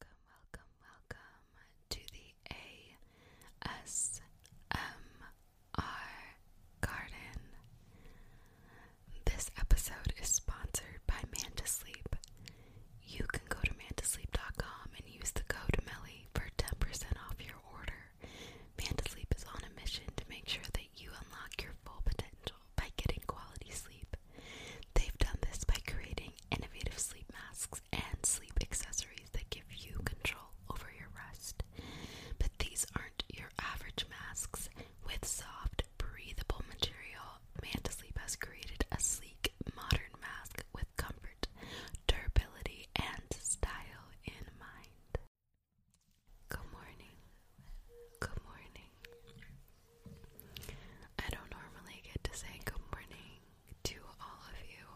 Welcome, welcome, welcome to the ASMR Garden. This episode is sponsored by Mantasleep. You can go to mantasleep.com and use the code MELLY for 10% off your order. Mantasleep is on a mission to make sure that you unlock your full potential by getting quality sleep. They've done this by creating innovative sleep masks and sleep accessories that give you control over your rest. But these aren't your average masks. With soft, breathable material, Sleep has created a sleek, modern mask with comfort, durability, and style in mind. Good morning. Good morning. I don't normally get to say good morning to all of you,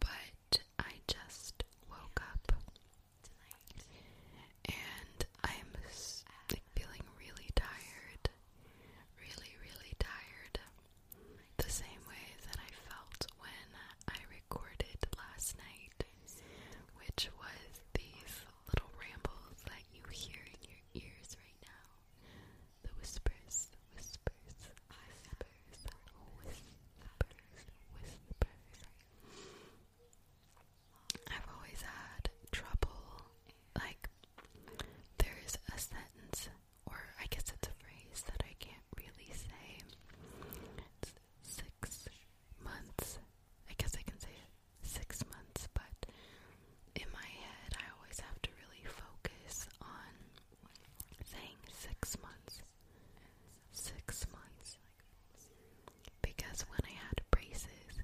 but I just woke up and I'm feeling really tired. Really, really tired. The same way that I felt when I recorded last night, which was these little rambles that you hear in your ears right now. The whispers, the whispers, whispers, whispers, whispers. I've always had trouble, like, there's a sentence, or I guess it's a phrase that I can't really say. six months. I guess I can say it six months, but in my head, I always have to really focus on saying six months. Six months. Because when I had braces,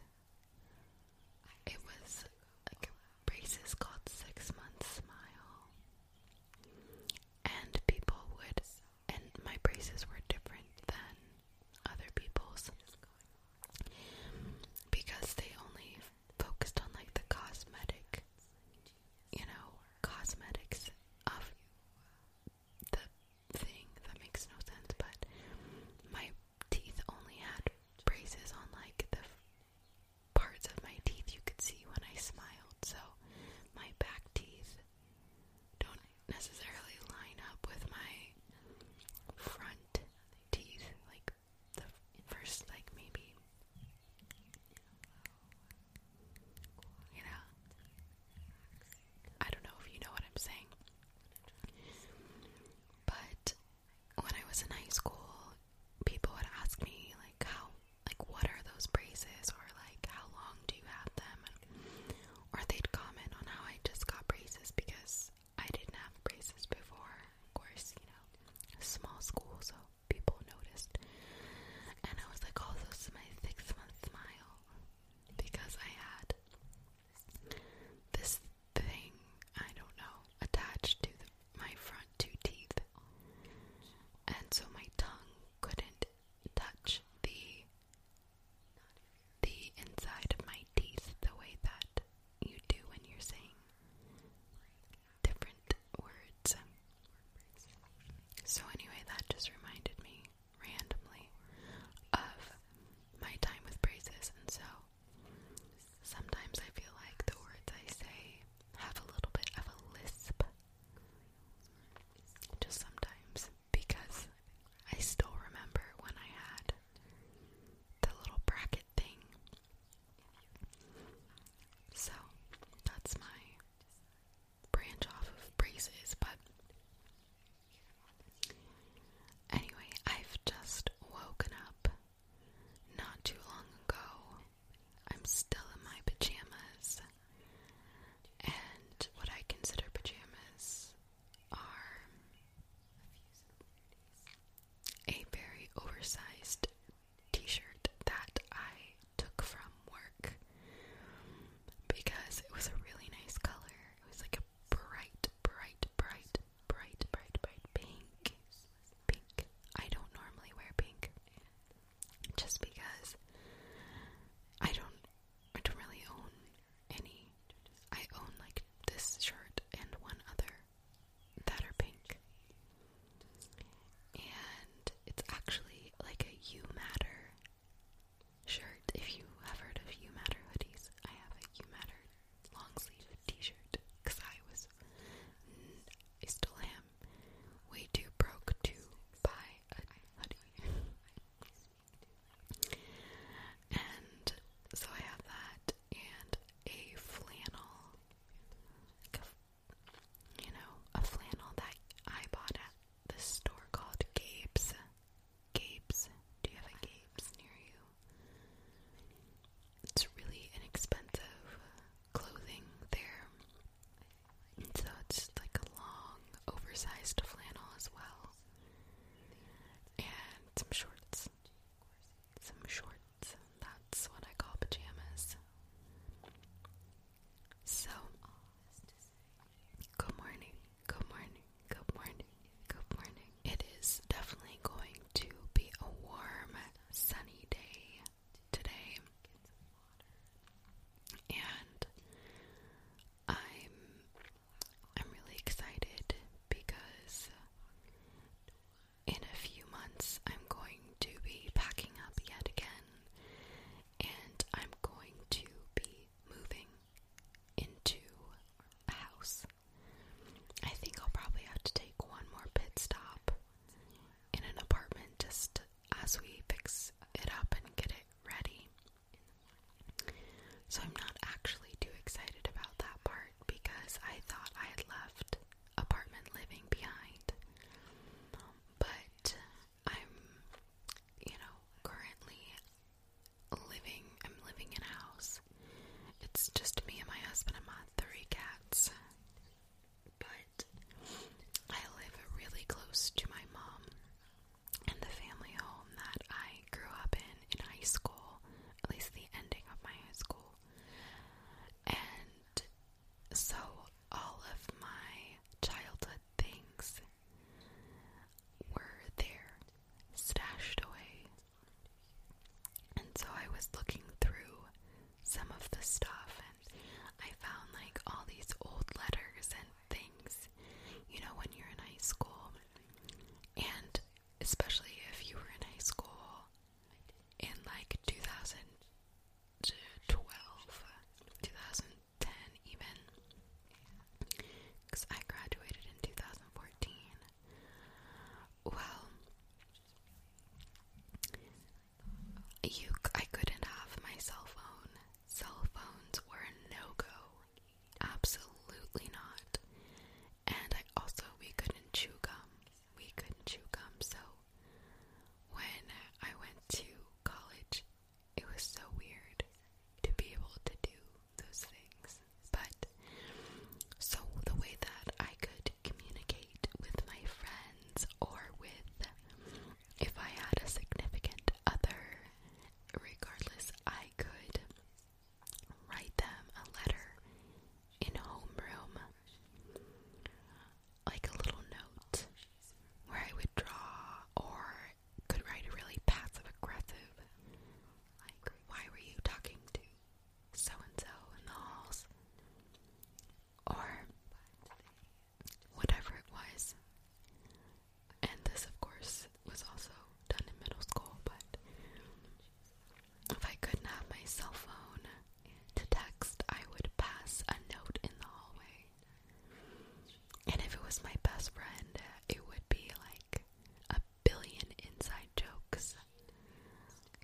it was like braces called Six months Smile. And people would, and my braces were different than other people's because they only focused on like the cosmetic, you know, cosmetics of the thing. That makes no sense, but my teeth only had braces on like the parts of my teeth you could see when I smiled, so my back teeth don't necessarily line up with my front teeth, like the first like maybe you know I don't know if you know what I'm saying but when I was in high school people would ask me like how like what are those braces or like how long do you have them and, or they'd comment on how I just got braces because I didn't have braces before, of course, you know, small school, so people noticed. And I was like, "All those my six month smile. Because I had this thing, I don't know, attached to my front two teeth. And so my tongue couldn't touch the the inside of my teeth the way that you do when you're saying different words. So, anyway, that just reminded me randomly of my time with braces, and so sometimes I feel like the words I say have a little bit of a lisp. Just sometimes, because I still remember when I had the little bracket thing. So that's my branch off of braces, but anyway, I've just woken up not too long ago. I'm still in my pajamas, and what I consider pajamas are a very oversized t shirt that I took from work because it was a really nice color. It was like a bright, bright, bright, bright, bright, bright pink. Pink. I don't normally wear pink just because I don't I don't really own any. I own like this shirt and one other that are pink. And it's actually like a You Matter shirt. If you have heard of You Matter hoodies, I have a You Matter long sleeve t shirt because I was, I still am, way too broke to buy a hoodie. and so I have that, and a flannel, you know, a flannel that I bought at this store called Gapes. Gapes, Do you have a Gapes near you? It's really inexpensive clothing there. And so it's like a long, oversized flannel as well. And some shorts some shorts. That's what I call pajamas. So, good morning, good morning, good morning, good morning. It is definitely going to be a warm, sunny day today. And I'm I'm really excited because in a few months I'm going to be packing up yet again and I'm going to be moving into a house. I think I'll probably have to take one more pit stop in an apartment just as we fix it up and get it ready. So I'm not actually too excited about that part because I thought I had left apartment living behind. But I'm, you know, currently living, I'm living in a house. It's just me and my husband and my three cats. But I live really close to my mom and the family home that I grew up in in high school, at least the ending of my high school. And so all of my childhood things were there, stashed away. And so I was looking through some of the stuff and I found like all these old letters and things, you know, when you're in high school. And especially if you were in high school in like 2012, 2010 even, because I graduated in 2014. Well, you, I couldn't have my cell phone. Cell phones were a no-go Absolutely not. And I also, we couldn't chew gum. We couldn't chew gum. So when I went to college, it was so weird to be able to do those things. But so the way that I could communicate with my friends or with if I had a significant other, regardless, I could write them a letter in homeroom, like a little note where I would draw or could write really passive aggressive, like, why were you talking to so and so in the halls? Or whatever it was. And this, of course, was also done in middle school, but if I couldn't have my cell phone to text, I would pass a note in the hallway. And if it was my best friend, it would be like a billion inside jokes.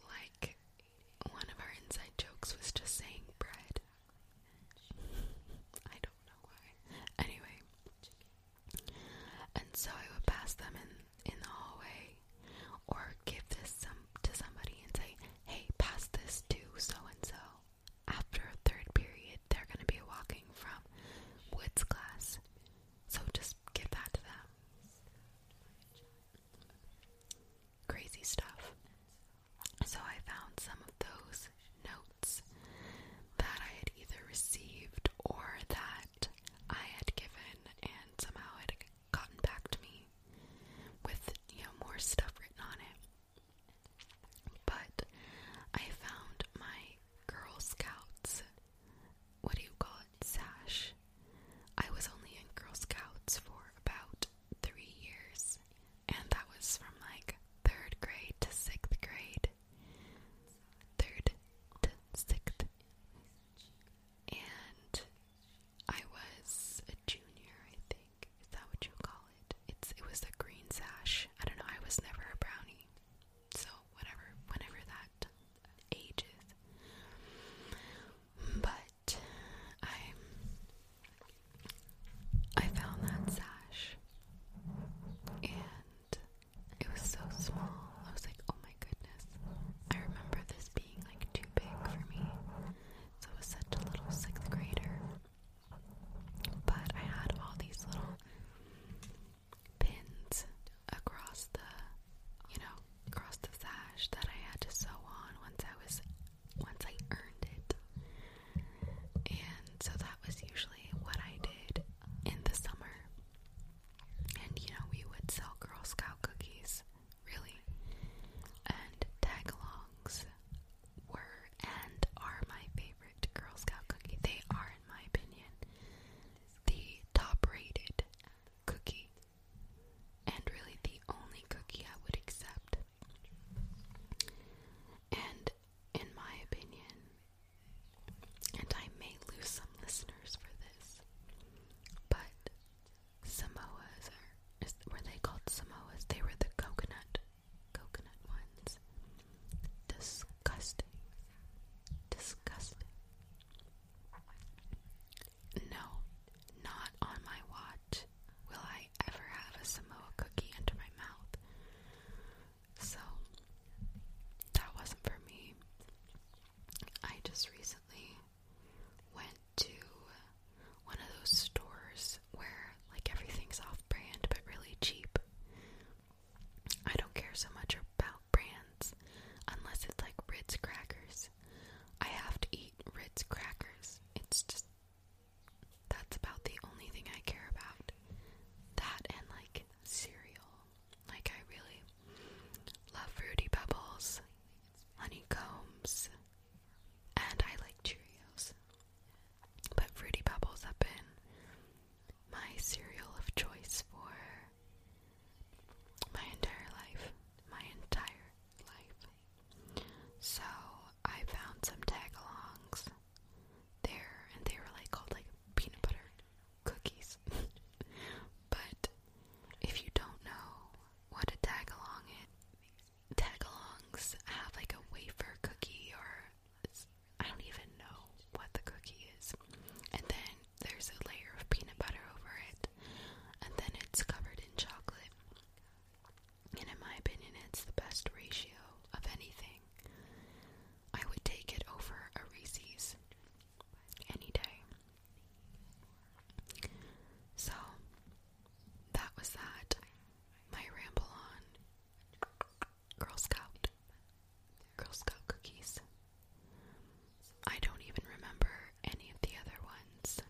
Like, one of our inside jokes was just saying bread. I don't know why. Anyway, and so I would pass them in, in the hallway or give this some to somebody and say, hey, pass this to so and so. After third period, they're going to be walking from Woods class. So just give that to them. Crazy stuff. So I found some of those notes that I had either received or that I had given, and somehow it gotten back to me with you know more stuff written on it. But I found my Girl Scouts. What do you call it? Sash. I was only in Girl Scouts for about three years, and that was from like third grade to sixth grade. Third to sixth and I was a junior, I think. Is that what you call it? It's it was a green sash. I don't know. I was never a brownie, so whatever, whenever that ages, But I I found that sash and it was so small. I was like, oh my goodness. I remember this being like too big for me. So it was such a little sixth grader. But I had all these little pins across the, you know, across the sash that I had to sew on once I was, once I earned it. And so that was usually what I did in the summer. And you know, we would sell Girl Scout cookies, really. And tagalongs were and are my favorite Girl Scout cookie. They are, in my opinion, the top rated cookie. And really the only cookie I would accept. And in my opinion, and I may lose some listeners for this, but Samoas were they called Samoas? They were the coconut, coconut ones. Disgusting. Disgusting. No, not on my watch will I ever have a Samoa cookie into my mouth. So, that wasn't for me. I just recently went to one of those stores where like everything's off brand but really cheap. I don't care so much about brands unless it's like Ritz crackers. I have to eat Ritz crackers. It's just that's about the only thing I care about. That and like cereal. Like, I really love Fruity Pebbles, honeycombs, and I like Cheerios. But Fruity Pebbles have been my cereal of choice for my entire life. My entire life. So I found some tagalongs there, and they were like called like peanut butter cookies. but if you don't know what a tagalong is, tagalongs have like a wafer cookie or I don't even know what the cookie is. And then there's a layer of peanut butter over it, and then it's covered in chocolate. And in my opinion, it's the best ratio of anything. I would take it over a Reese's any day. So that was that. My ramble on Girl Scout. Girl Scout cookies. I don't even remember any of the other ones.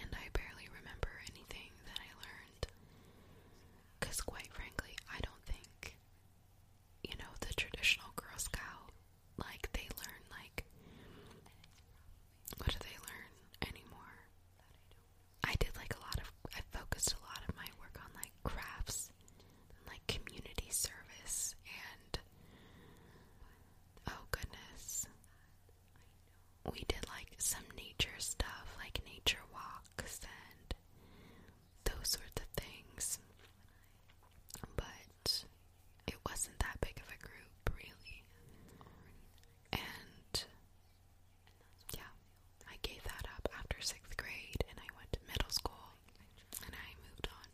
And I barely remember anything that I learned. Because, quite frankly, I don't think you know, the traditional Girl Scout, like they learn like what do they learn anymore? I did like a lot of I focused a lot of my work on like crafts and like community service and oh goodness. We did like some nature stuff, like nature walks and those sorts of things. But it wasn't that big of a group, really. And yeah, I gave that up after sixth grade and I went to middle school and I moved on.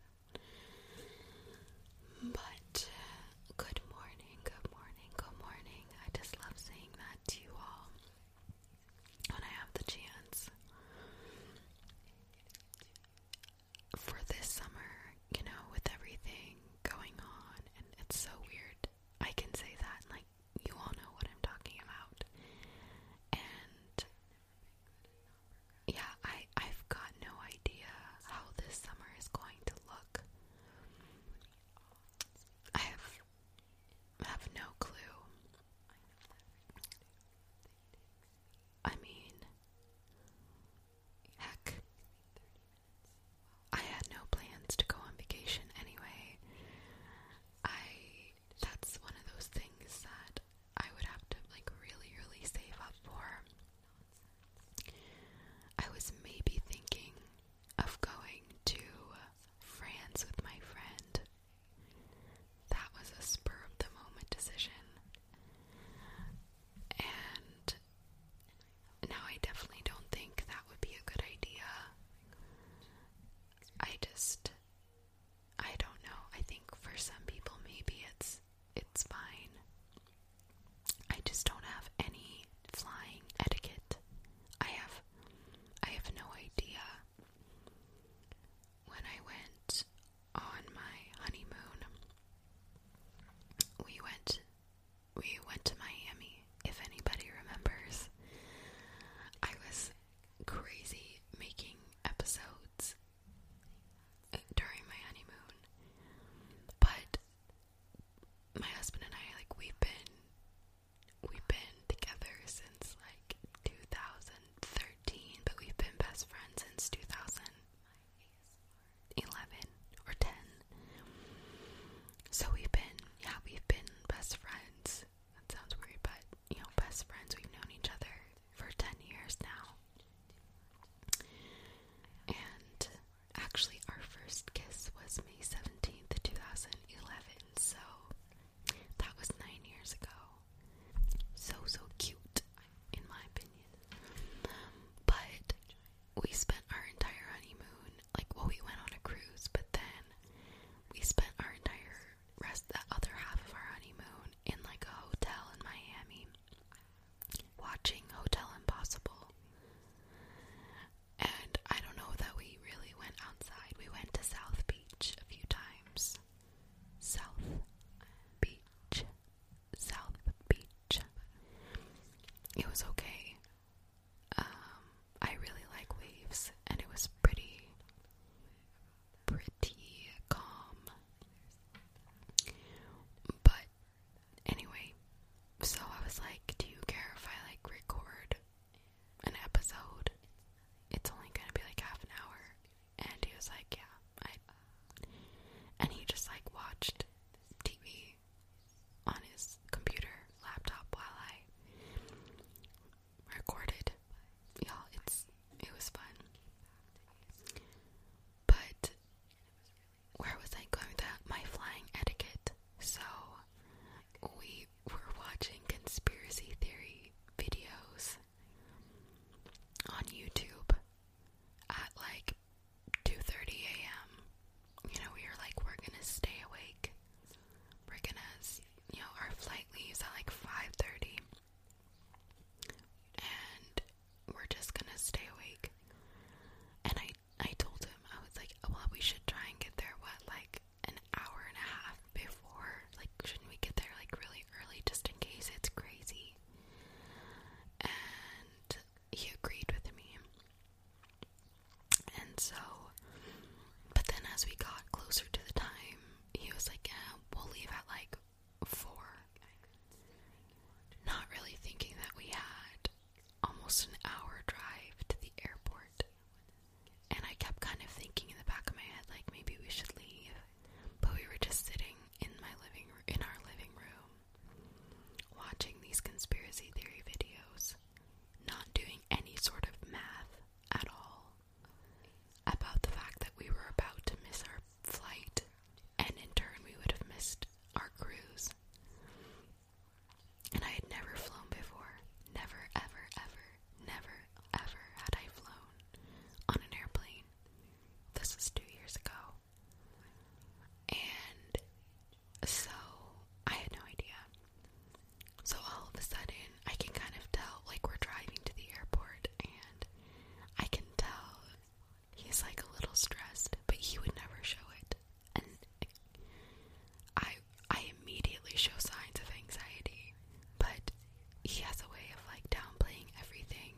But good morning, good morning, good morning. I just love saying that to you all when I have the chance. For this summer, you know, with everything going on, and it's so weird. I can say that, and like, you all know what I'm talking about. And yeah, I, I've got no idea how this summer is going to look. I have, have no clue. I mean, heck, I had no plans to go on vacation anyway. I that's one of those things that I would have to like really, really save up for. I was maybe thinking of going to France with my friend that was a spur of the moment decision. And now I definitely don't think that would be a good idea. I just I don't know. I think for some people maybe it's it's fine. I just don't have any flying etiquette. I have I have no idea when I went on my honeymoon, we went we went to Miami, if anybody remembers. I was crazy making episodes uh, during my honeymoon. But my husband and I like we've been we've been together since like 2000 Thirteen, but we've been best friends since 2011 or 10. So we've been, yeah, we've been best friends. That sounds weird, but you know, best friends. We've known each other for 10 years now. And actually, our first kiss was May 17th, 2011. So that was nine years ago. So, so cute, in my opinion. But we spent our entire honeymoon, like, well, we went on a cruise, but then we spent our entire rest, the other half of our honeymoon, in like a hotel in Miami watching Hotel Impossible. And I don't know that we really went outside. We went to South Beach a few times. South Beach, South Beach. It was okay. Um, I really like waves, and it was pretty, pretty calm. But anyway, so I was like, "Do you care if I like record an episode. It's only gonna be like half an hour. And he was like, Yeah, and he just like watched TV on his computer, laptop while I recorded. Y'all, it's it was fun. But where was I going to that? My flying etiquette. So we were watching conspiracy theory videos on YouTube at like 2:30 a.m. You know, we are like, we're gonna stay awake. We're gonna, you know, our flight leaves at like 5:30, and we're just gonna stay awake. And I, I told him I was like, well, we should try and get there. What like an hour and a half before. Like, shouldn't we get there like really early just in case it's crazy? And he agreed with me. And so, but then as we got closer to the time, he was like, yeah, we'll leave at like four. Not really thinking that we had almost an hour drive to the airport. And I kept kind of thinking in the back of my head, like maybe we should leave. But we were just sitting in my living in our living room, watching these conspiracy theory videos, not doing any sort of math at all about the fact that we were about to miss our flight, and in turn we would have missed our cruise. And I had never flown before, never, ever, ever. Never, ever had I flown on an airplane. This was two years ago. And so I had no idea. So all of a sudden, I can kind of tell, like, we're driving to the airport, and I can tell he's like a little stressed, but he would never show it. And I, I immediately show signs of anxiety, but he has a way of like downplaying everything.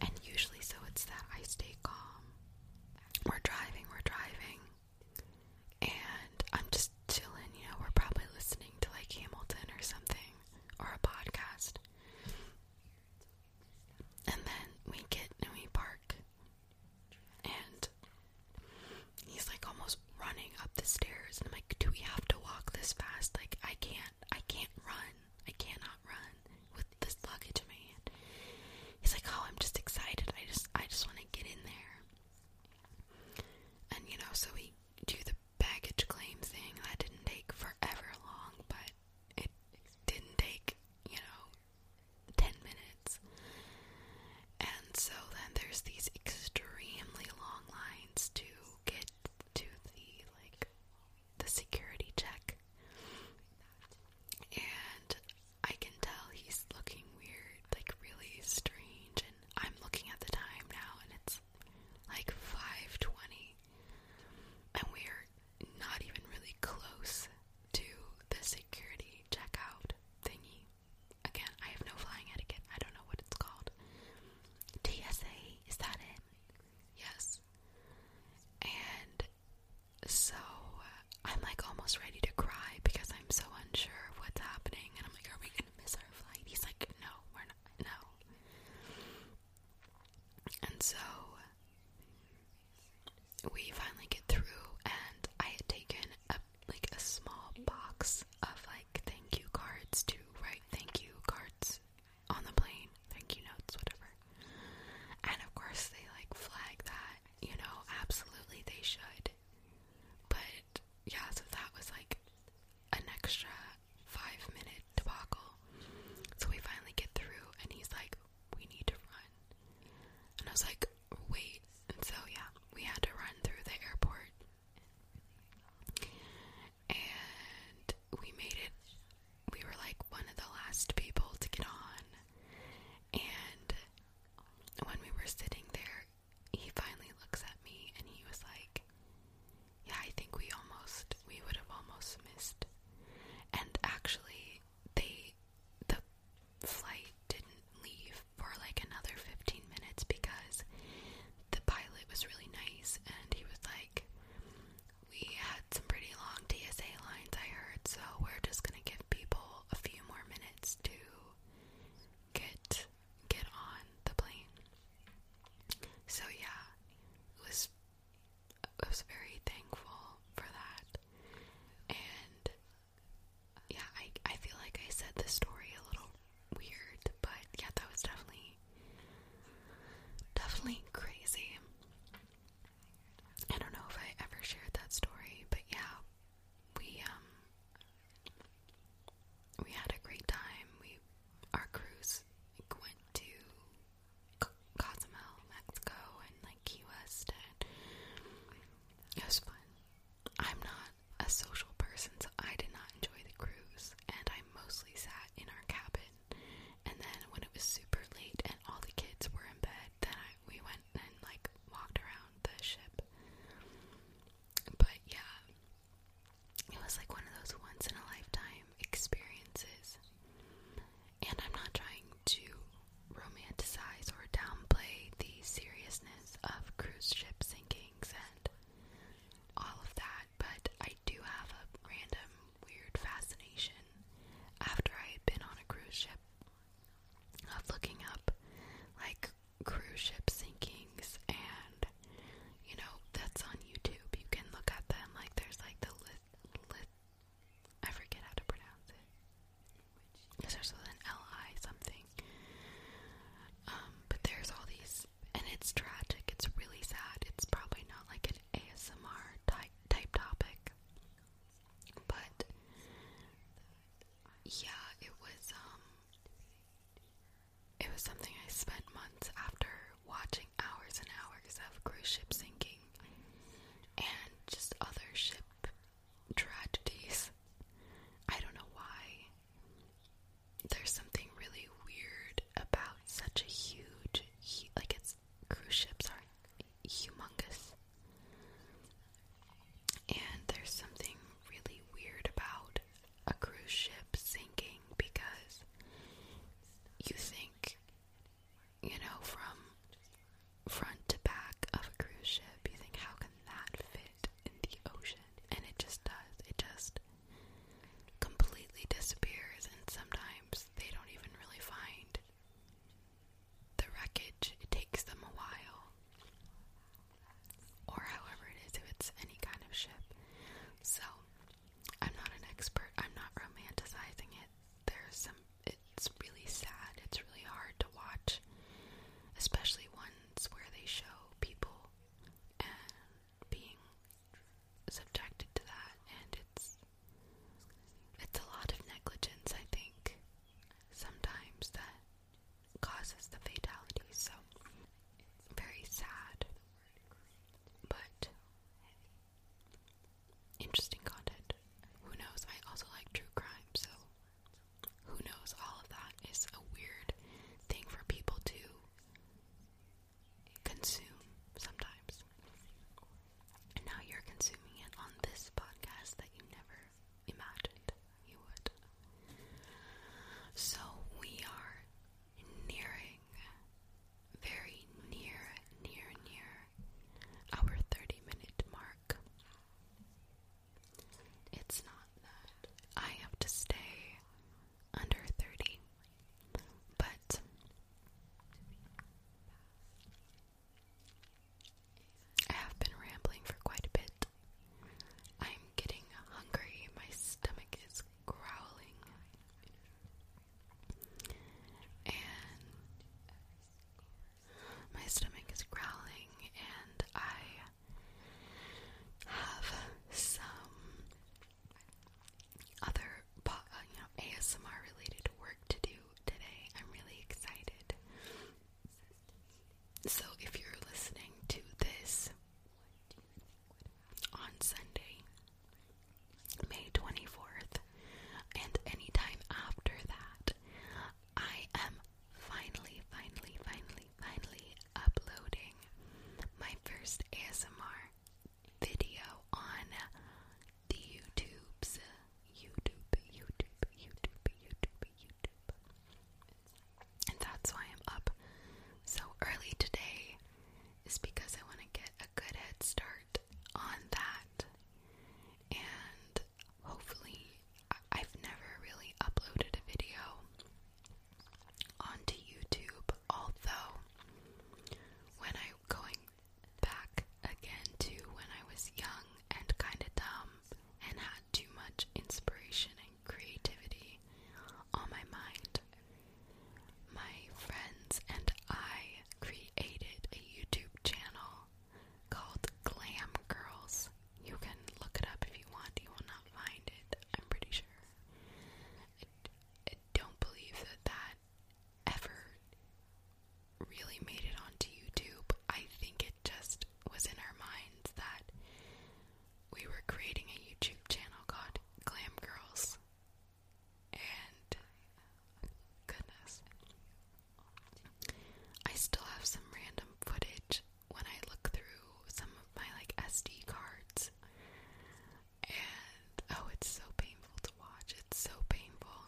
And usually, so it's that I stay calm. We're driving, we're driving, and I'm just chilling. You know, we're probably listening to like Hamilton or something, or a podcast. And then we get and we park, and He's like almost running up the stairs, and I'm like, do we have to walk this fast? Like, I can't, I can't run. I cannot run with this luggage in my hand. He's like, oh, I'm just excited. I just, I just want to get in there. And you know, so we do the baggage claim thing. That didn't take forever long, but it didn't take, you know, 10 minutes. And so then there's these extremely long lines to get to the like the security check. And I can tell he's looking weird, like really strange and I'm looking at the time now and it's like 5:20. And we're not even really close to the security checkout thingy. Again, I have no flying etiquette. I don't know what it's called. TSA, is that it? Yes. And so uh, I'm like almost ready to cry because I'm so unsure of what's happening. And I'm like, are we going to miss our flight? He's like, no, we're not. No. And so we finally get through, and I had taken a like a small box of like thank you cards to write thank you cards on the plane, thank you notes, whatever. And of course, they like flag that, you know, absolutely they should. But yeah, so that was like an extra five minute debacle. So we finally get through, and he's like, We need to run. And I was like, Wait. And so, yeah, we had to run through the airport and we made it, we were like one of the last people to get on. And when we were sitting there, he finally looks at me and he was like, Yeah, I think we almost, we would have almost missed. And actually, they, the flight didn't leave for like another 15 minutes because the pilot was really nice and he was like, We had some pretty long TSA lines, I heard, so we're just gonna give people a few more minutes to get get on the plane. So yeah, it was I was very thankful for that. And yeah, I I feel like I said the story a little weird, but yeah, that was definitely definitely crazy. I don't know if I ever shared that story, but yeah, we um we had a great time. We our cruise went to C Cozumel, Mexico, and like Key West, and it was fun. I'm not a social person, so I did not enjoy the cruise, and I mostly sat in our cabin. And then when it was super late and all the kids were in bed, then we went and like walked around the ship. But yeah, it was like one of those once in a lifetime experiences. And I'm not trying to romanticize or downplay the seriousness of cruise ship sinkings all of that, but I do have a random weird fascination after I had been on a cruise ship of looking up like cruise ship sinkings and you know that's on YouTube. You can look at them like there's like the list lit I forget how to pronounce it. It starts L I something. Um, but there's all these, and it's tragic. It's really sad. It's probably not like an ASMR type type topic, but yeah, it was. Um, it was something I spent months after watching hours and hours of cruise ship sinking and just other ship tragedies. I don't know why there's something really weird about such a huge, like its cruise ships are humongous, and there's something really weird about a cruise ship sinking because you think, you know, from front to back of a cruise ship, you think, how can that fit in the ocean, and it just does. It just completely disappears, and sometimes they don't even really find the wreckage. It takes them a while, or however it is, if it's any kind of ship. So, I'm not an expert, I'm not romanticizing it. There's some, it's really sad, it's really hard to watch, especially when events where they show people being subjected to that and it's it's a lot of negligence I think sometimes that causes the fatalities so it's very sad but interesting content who knows I also like true crime so who knows, all of that is a weird thing for people to consume sometimes. And now you're consuming it on this podcast that you never imagined you would. So we are nearing, very near, near, near our 30 minute mark. It's not that I have to stay under 30, but I have been rambling for quite a bit. I'm getting hungry, my stomach is growling, and my stomach is growling, and I have some other uh, ASMR related work to do today. I'm really excited. So if you're listening to this on Sunday, May 24th, and any time after that, I am finally, finally, finally, finally uploading my first ASMR video on the YouTube's YouTube, YouTube, YouTube, YouTube, YouTube. And that's why I'm up so early today, is because I want to get a good head start on that. And hopefully, I've never really uploaded a video onto YouTube, although when I going back again to when I was young and kinda dumb and had too much inspiration and creativity on my mind, my friends and I created a YouTube channel called Glam Girls you can look it up if you want. You will not find it. I'm pretty sure. I, don't believe that that ever really made it onto YouTube. I think it just was in our minds that we were creating a YouTube channel called Glam Girls. And goodness. I still have some random footage when I look through some of my like SD cards, and oh, it's so painful to watch. It's so painful.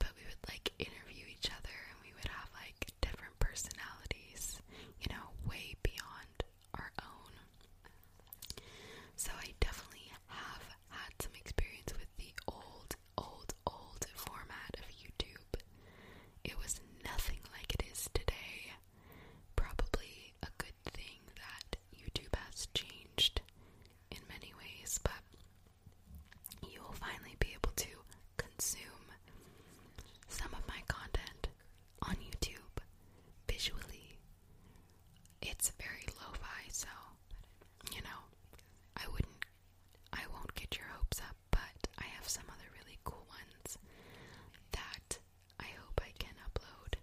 But we would like interview each other, and we would have like different personalities, you know, way beyond our own. So I definitely have had some experience with the old, old, old format of YouTube. It was nothing like it is today. Probably a good thing that YouTube has changed in many ways, but you will finally be able to consume some of my content on YouTube visually. It's very low fi, so you know, I wouldn't, I won't get your hopes up but I have some other really cool ones that I hope I can upload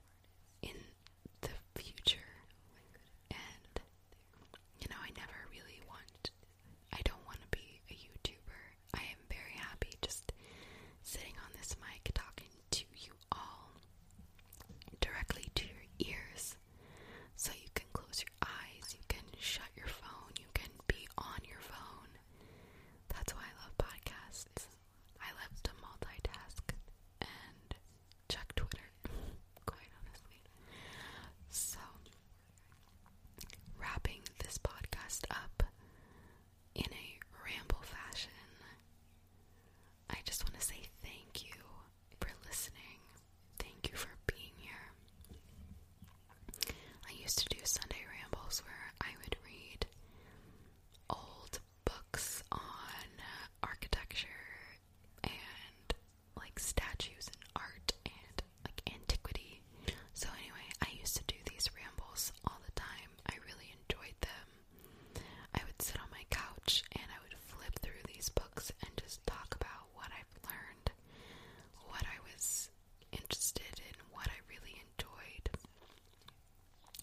in the future. And, you know, I never really want, I don't want to be a YouTuber. I am very happy just sitting on this mic talking to you all directly to your ears. So you can close your eyes, you can shut your phone, you can be on your phone, that's why I love podcasts. I love to multitask and check Twitter, quite honestly. So, wrapping this podcast up in a ramble fashion, I just want to say thank you for listening. Thank you for being here. I used to do Sunday rambles where I would read old books on architecture and like statues and art and like antiquity. So, anyway, I used to do these rambles all the time. I really enjoyed them. I would sit on my couch and I would flip through these books and just talk about what I've learned, what I was interested in what I really enjoyed.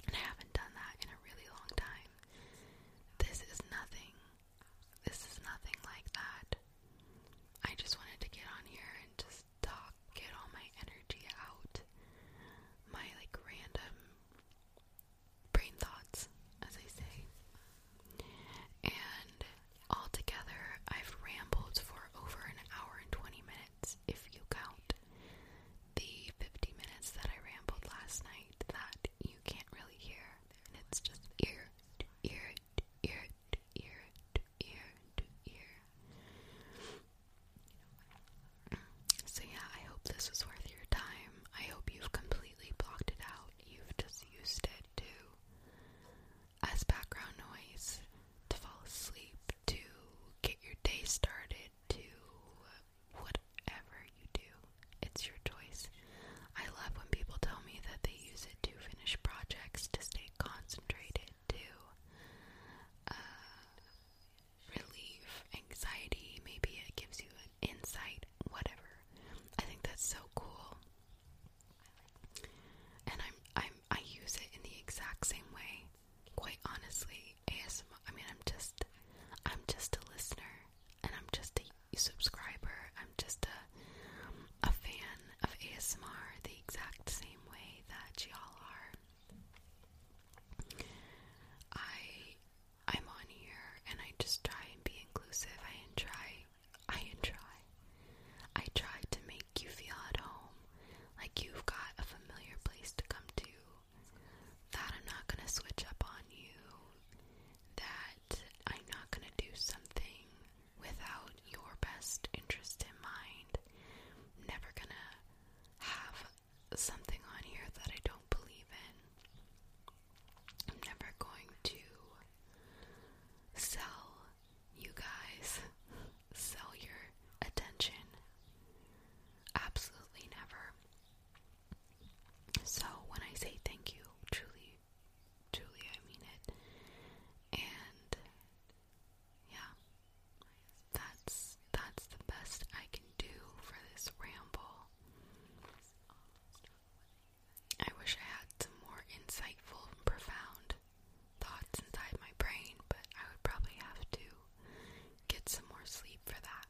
And I haven't done that in a really long time. This is nothing. This is nothing like that. I just wanted to get on here and just talk, get all my energy out, my like random brain thoughts, as I say. And Altogether, I've rambled for over an hour and 20 minutes, if you count the 50 minutes that I rambled last night that you can't really hear. And it's just ear to ear to ear to ear to ear to ear. So, yeah, I hope this was worth your time. I hope you've completely blocked it out. You've just used it to as background noise to fall asleep, to get your day started, to whatever you do. It's your choice. I love when people tell me that they use it to finish projects, to stay concentrated, to uh, relieve anxiety. Maybe it gives you an insight, whatever. I think that's so cool. And I'm I'm I use it in the exact same way. Quite honestly, ASMR. I mean, I'm just, I'm just a listener, and I'm just a subscriber. I'm just a, a fan of ASMR the exact same way that y'all are. I, I'm on here, and I just try and be inclusive. I try, I try I tried to make you feel at home, like you've got a familiar place to come to, that I'm not going to switch up on you, that I'm not going to do something without your best interest in mind. never going to have something on here that I don't believe in. I'm never going to sell you guys sell your attention. Absolutely never. So when I say thank you, truly, truly, I mean it. And yeah, that's that's the best I can do for this ramble. I wish I had more insightful profound thoughts inside my brain, but I would probably have to get some more sleep for that.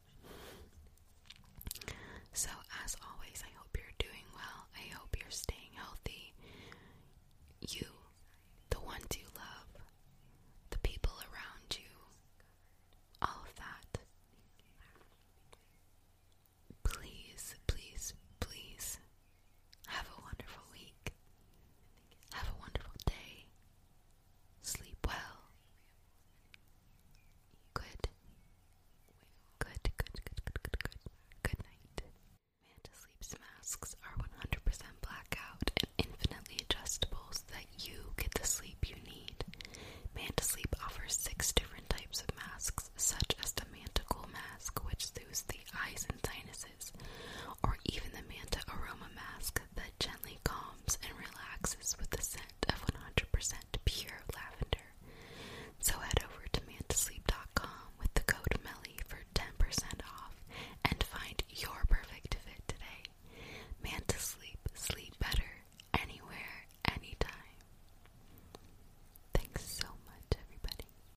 So, as always, I hope you're doing well. I hope you're staying healthy. You, the ones you love, the people around you, all of that. Please, please, please have a wonderful week. Have a wonderful day. Sleep well. Good. Good, good, good, good, good, good. night. Manta Sleep's masks are 100% blackout and infinitely adjustable so that you get the sleep you need. Manta Sleep offers six different types of masks, such as the Manticle mask, which soothes the eyes sinuses, or even the Manta Aroma Mask that gently calms and relaxes with the scent of 100% pure lavender. So head over to mantasleep.com with the code MELLY for 10% off and find your perfect fit today. Manta Sleep, sleep better anywhere, anytime. Thanks so much, everybody.